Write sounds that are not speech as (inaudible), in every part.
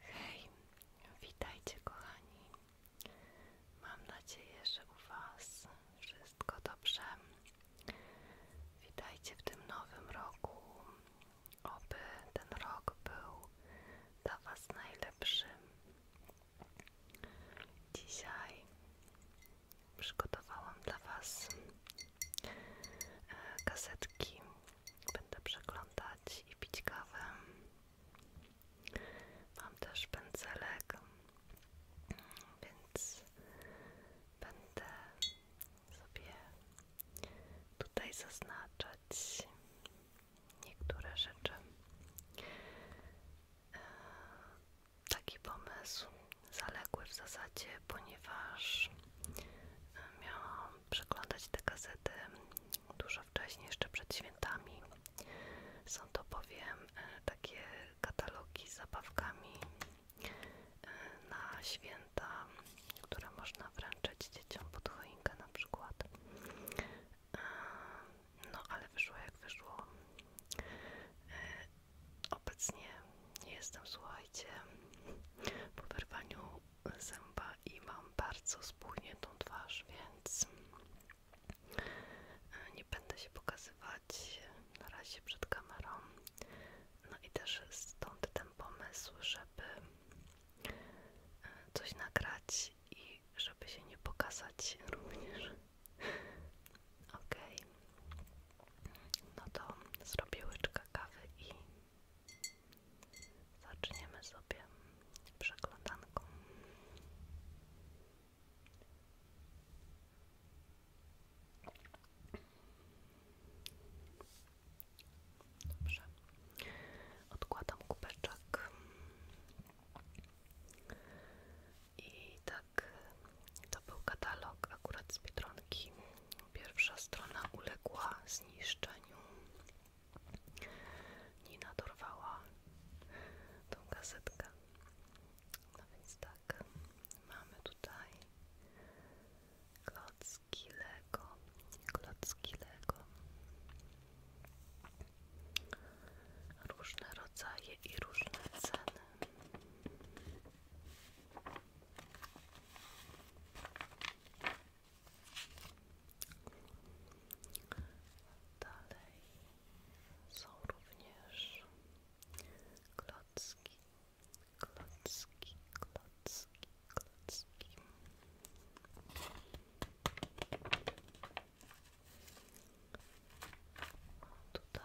Hej, witajcie kochani. Mam nadzieję, że u Was wszystko dobrze. Witajcie w tym nowym roku. Oby ten rok był dla Was najlepszy. Dzisiaj przygotowałam dla Was kasetki e, będę przeglądać i pić kawę. Mam też pędzelek, więc będę sobie tutaj zaznaczać niektóre rzeczy. Taki pomysł zaległy w zasadzie, ponieważ miałam przeglądać te gazety dużo wcześniej, jeszcze przed świętami. Są to bowiem e, takie katalogi z zabawkami e, na święta, które można wręczyć dzieciom pod choinkę na przykład. E, no ale wyszło jak wyszło. Obecnie jestem, słuchajcie, po wyrwaniu zęba i mam bardzo spuchniętą twarz, więc e, nie będę się pokazywać na razie przed kamerą. No i też stąd ten pomysł, żeby e, coś nagrać i żeby się nie pokazać również. Okej. No to zrobię łyczkę kawy i Zaczniemy sobie przeglądanką. Dobrze. Odkładam kubeczek. I tak to był katalog akurat z Biedronki. Pierwsza strona uległa zniszczeniu. Nina dorwała tą gazetkę. No więc tak, mamy tutaj klocki Lego, klocki Lego. Różne rodzaje i różne ceny. Dalej są również klocki, klocki, klocki, klocki. Tutaj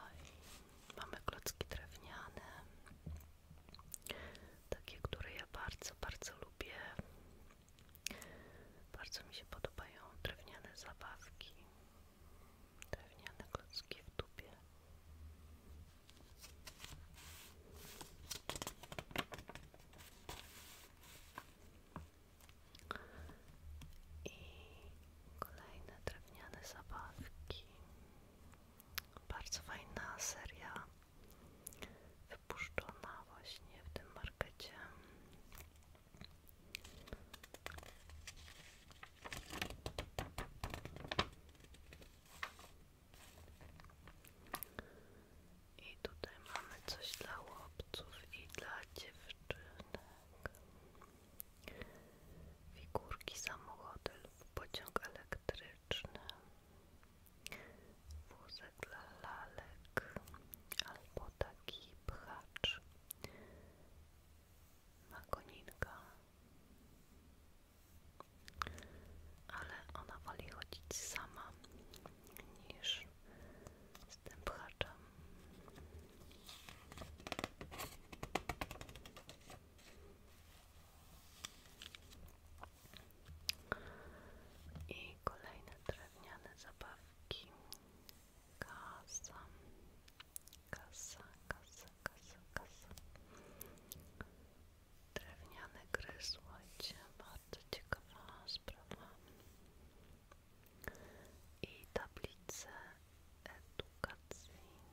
mamy klocki drewniane, takie, które ja bardzo, bardzo lubię. Bardzo mi się podobają drewniane zabawki, drewniane klocki w tubie I kolejne drewniane zabawki. Bardzo fajna seria wypuszczona właśnie w tym markecie. I tutaj mamy coś dla chłopców i dla dziewczynek. Figurki samochodów, pociąg elektryczny wózek dla lalek albo taki pchacz ma koninka ale ona woli chodzić sama niż z tym pchaczem i kolejne drewniane zabawki. Kasa, kasa, kasa, kasa, kasa. Drewniane gry, słuchajcie, bardzo ciekawa sprawa. I tablice edukacyjne.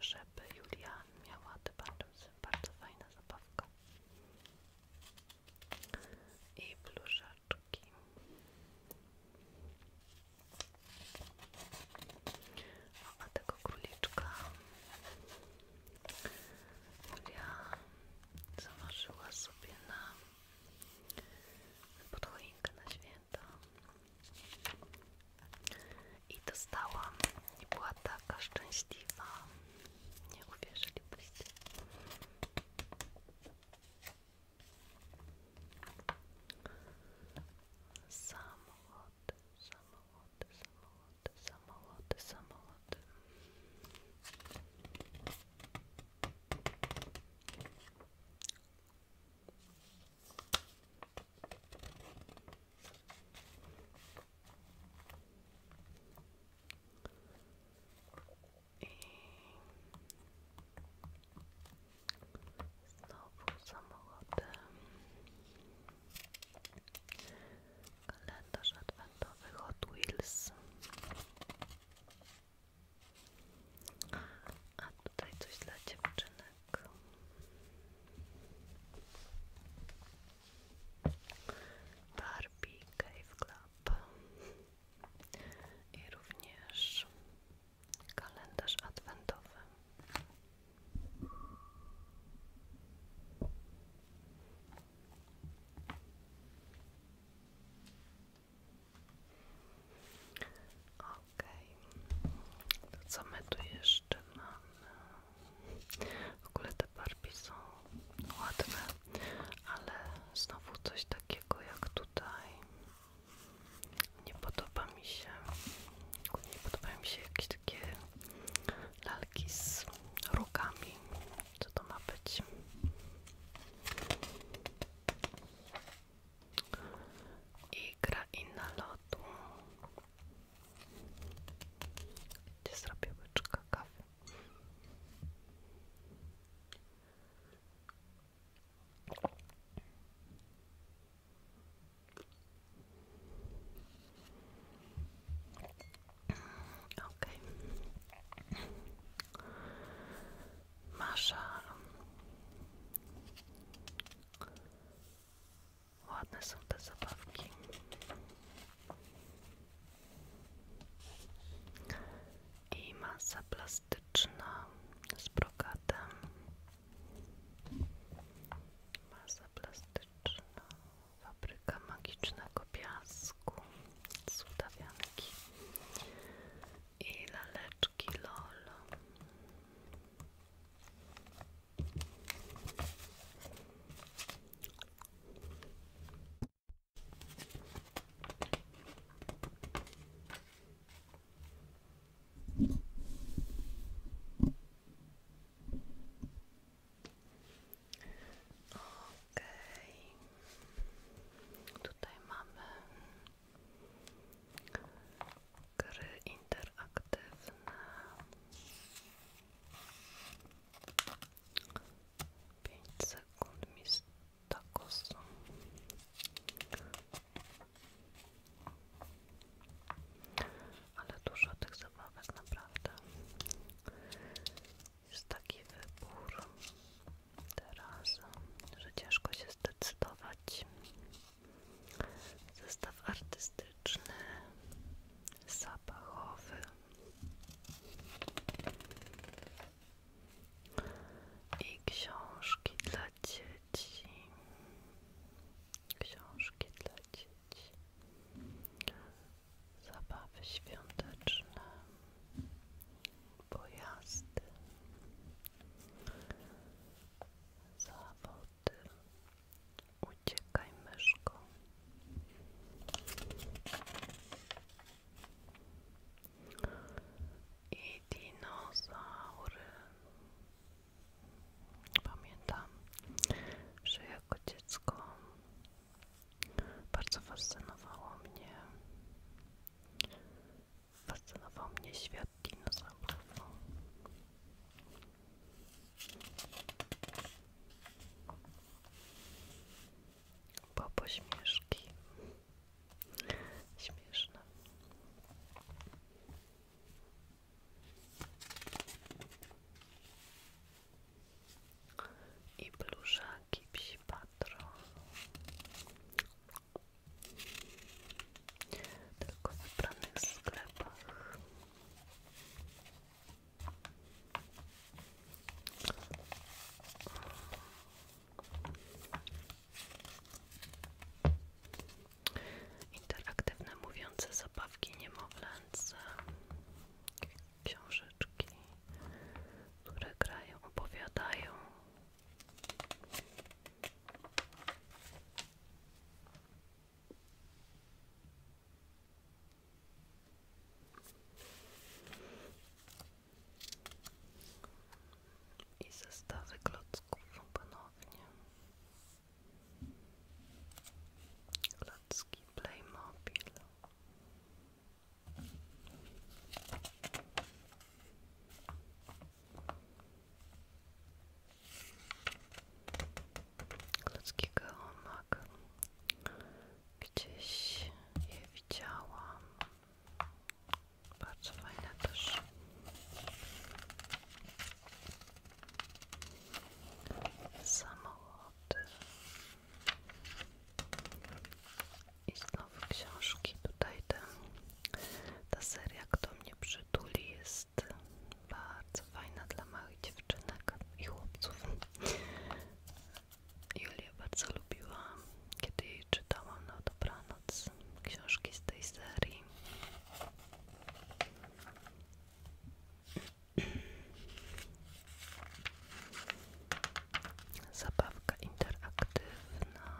żeby Julia miała tym bardzo fajna zabawka i pluszeczki o, a tego króliczka Julia zamarzyła sobie na podchoinkę na święta i dostałam i była taka szczęśliwa. Nie uwierzylibyście. Samochody, samochody, samochody, samochody, samochody. I znowu samochodem. Kalendarz adwentowy Hot Wheels. A tutaj coś dla dziewczynek. Barbie Cave Club i również kalendarz adwentowy. Okej, co my tu jeszcze mamy? W ogóle te Barbie są ładne, ale znowu coś takiego jak tutaj. Nie podoba mi się. Nie podoba mi się jakieś takie lalki z rogami. Co to ma być? I gra inna lotu. Gdzie zrobię łyczka kawy? Okej. Okay. Ładne są te zabawki. I masa plastyczna z brokatem. Masa plastyczna, fabryka magicznego piasku, sudawianki i laleczki LOL. Okej, okay. tutaj mamy gry 5 sekund mi z tak Ale dużo tych zabawek naprawdę. Jest taki wybór teraz, że ciężko się zdecydować zestaw artystyczny, zapachowy. I książki dla dzieci. Książki dla dzieci. Zabawy świąteczne. Pojazdy. Zawody. Uciekaj myszko. I dinozaury. Pamiętam, że jako dziecko bardzo fascynowało mnie fascynował mnie świat dinozaurów. Bo pośmieszki. Śmieszne. I pluszaki psi patron. Tylko w wybranych sklepach. Interaktywne mówiące zabawki niemowlęce, książeczki, które grają, opowiadają. I zestawy klocków ponownie. Klocki Playmobil ludzki geomak. Gdzieś je widziałam. Bardzo fajne też. Samochody. I znowu książki. Tutaj ten, ta seria, kto mnie przytuli, bardzo fajna dla małych dziewczynek i chłopców. Julia bardzo lubiła, kiedy jej czytałam na dobranoc książki z tej serii. Zabawka interaktywna.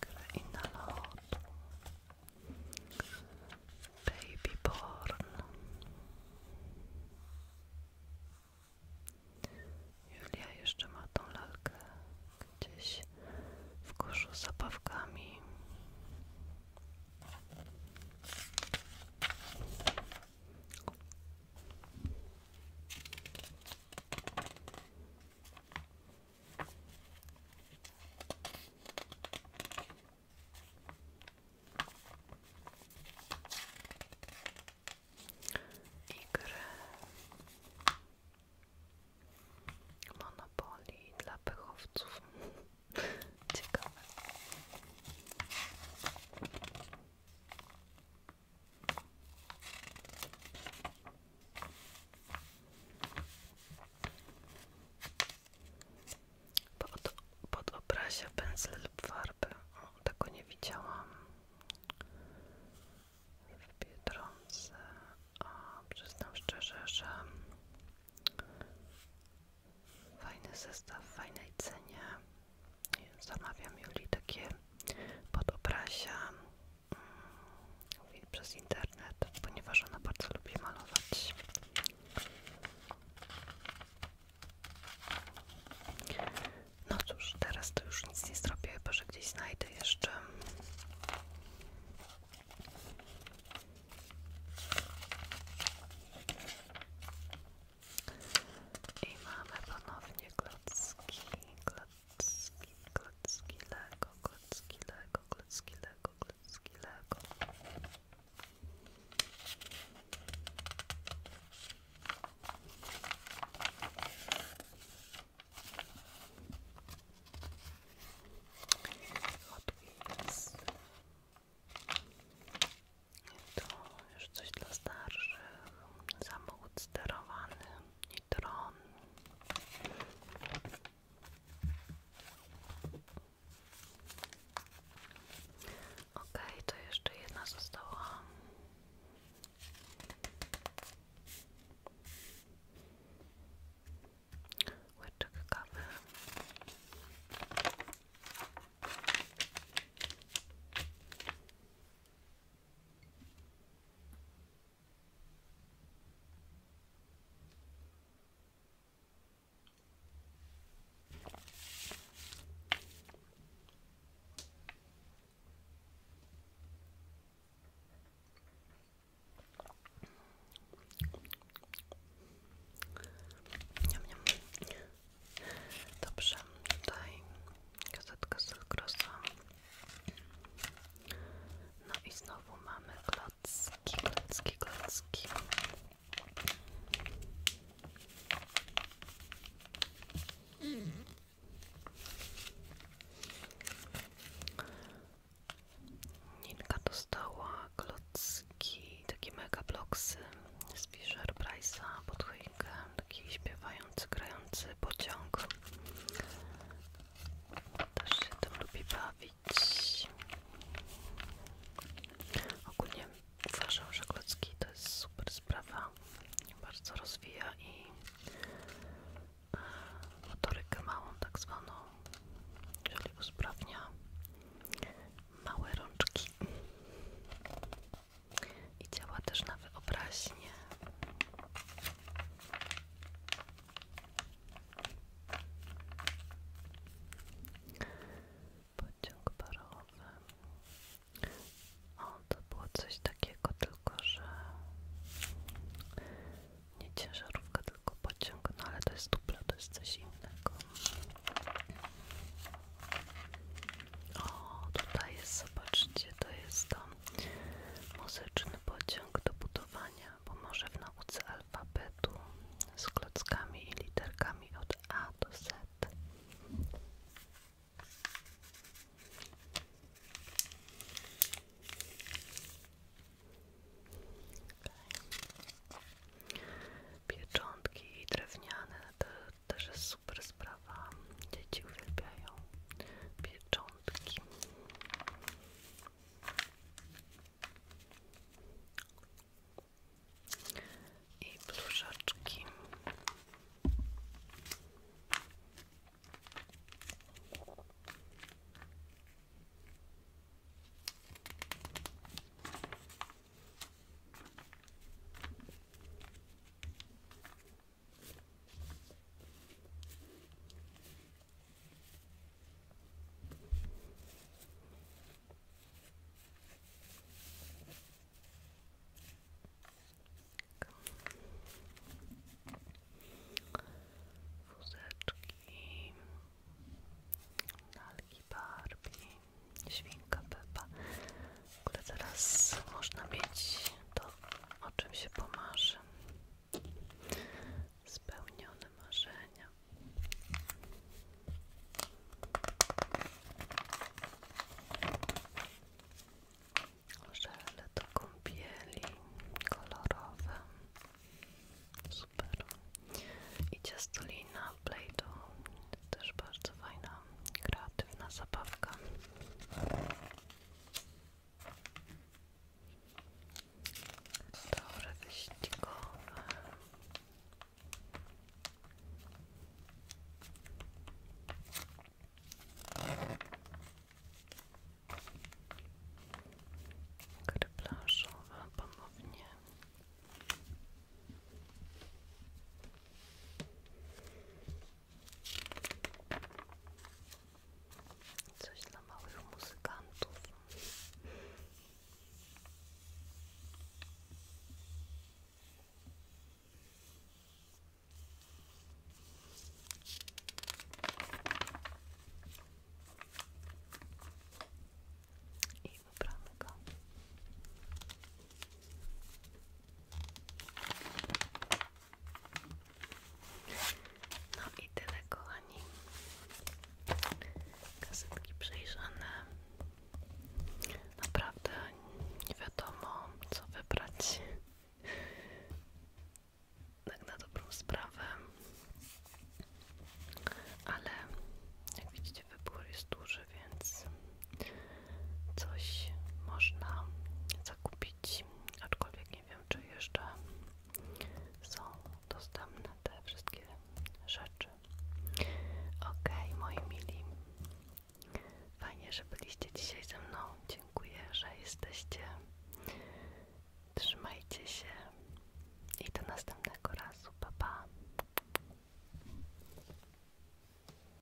Kraina lotu. Baby Born. Julia jeszcze ma tą lalkę gdzieś w koszu z zabawkami i gry Monopoly dla pychowców. (laughs) Ciekawe. Pod, pod obrazie pędzle lub farby. O, nie widziałam. W Biedronce. A przyznam szczerze, że fajny zestaw w fajnej cenie zamawiam Julii takie podobrasia mm, przez internet, ponieważ ona bardzo lubi malować. No cóż, teraz to już nic nie zrobię, bo że gdzieś znajdę jeszcze. I mamy ponownie klocki, klocki, klocki Lego, klocki Lego, klocki Lego, klocki Lego. Hot Wheels. I to już coś dla starszych, samochód sterowany i dron. Ok, to jeszcze jedna została. Łyczek kawy. Dobrze, tutaj Gazetka Sylgrosa. No i znowu mamy klocki, klocki, klocki. Ninka dostała klocki, takie mega bloksy z Fisher Price'a pod King, taki śpiewający, grający pociąg. Też się tym lubi bawić. Ogólnie uważam, że to jest super sprawa. Bardzo rozwija i e, motorykę małą tak zwaną, czyli usprawnia małe rączki i też na wyobraźnię. Pociąg parowy. O, to było coś takiego, tylko że nie ciężarówka, tylko pociąg, no ale to jest dupla, to jest coś innego. O, tutaj jest, zobaczcie, to jest to muzyczny pociąg do budowania, pomoże w nauce alfabetu z klockami i literkami od A do Z. Pieczątki drewniane, też jest super sprawa. Dzieci uwielbiają pieczątki. I pluszeczki. Wózeczki, lalki Barbie, świnka Pepa. W ogóle teraz można mieć to, o czym się pomarzy. Spełnione marzenia. Żele do kąpieli kolorowe. Super. I ciastolina Play-Doh. Też bardzo fajna, kreatywna zabawka. Tory wyścigowe. Gry plażowe Coś dla małych muzykantów. I wybramy no i tyle kochani. Kasetki przejrzane. Naprawdę nie wiadomo co wybrać. Tak na dobrą sprawę. Ale jak widzicie wybór jest duży więc coś można zakupić, aczkolwiek nie wiem, czy jeszcze są dostępne te wszystkie rzeczy. Okej, moi mili, fajnie, że byliście dzisiaj ze mną. Dziękuję, że jesteście. Trzymajcie się i do następnego razu. Pa, pa.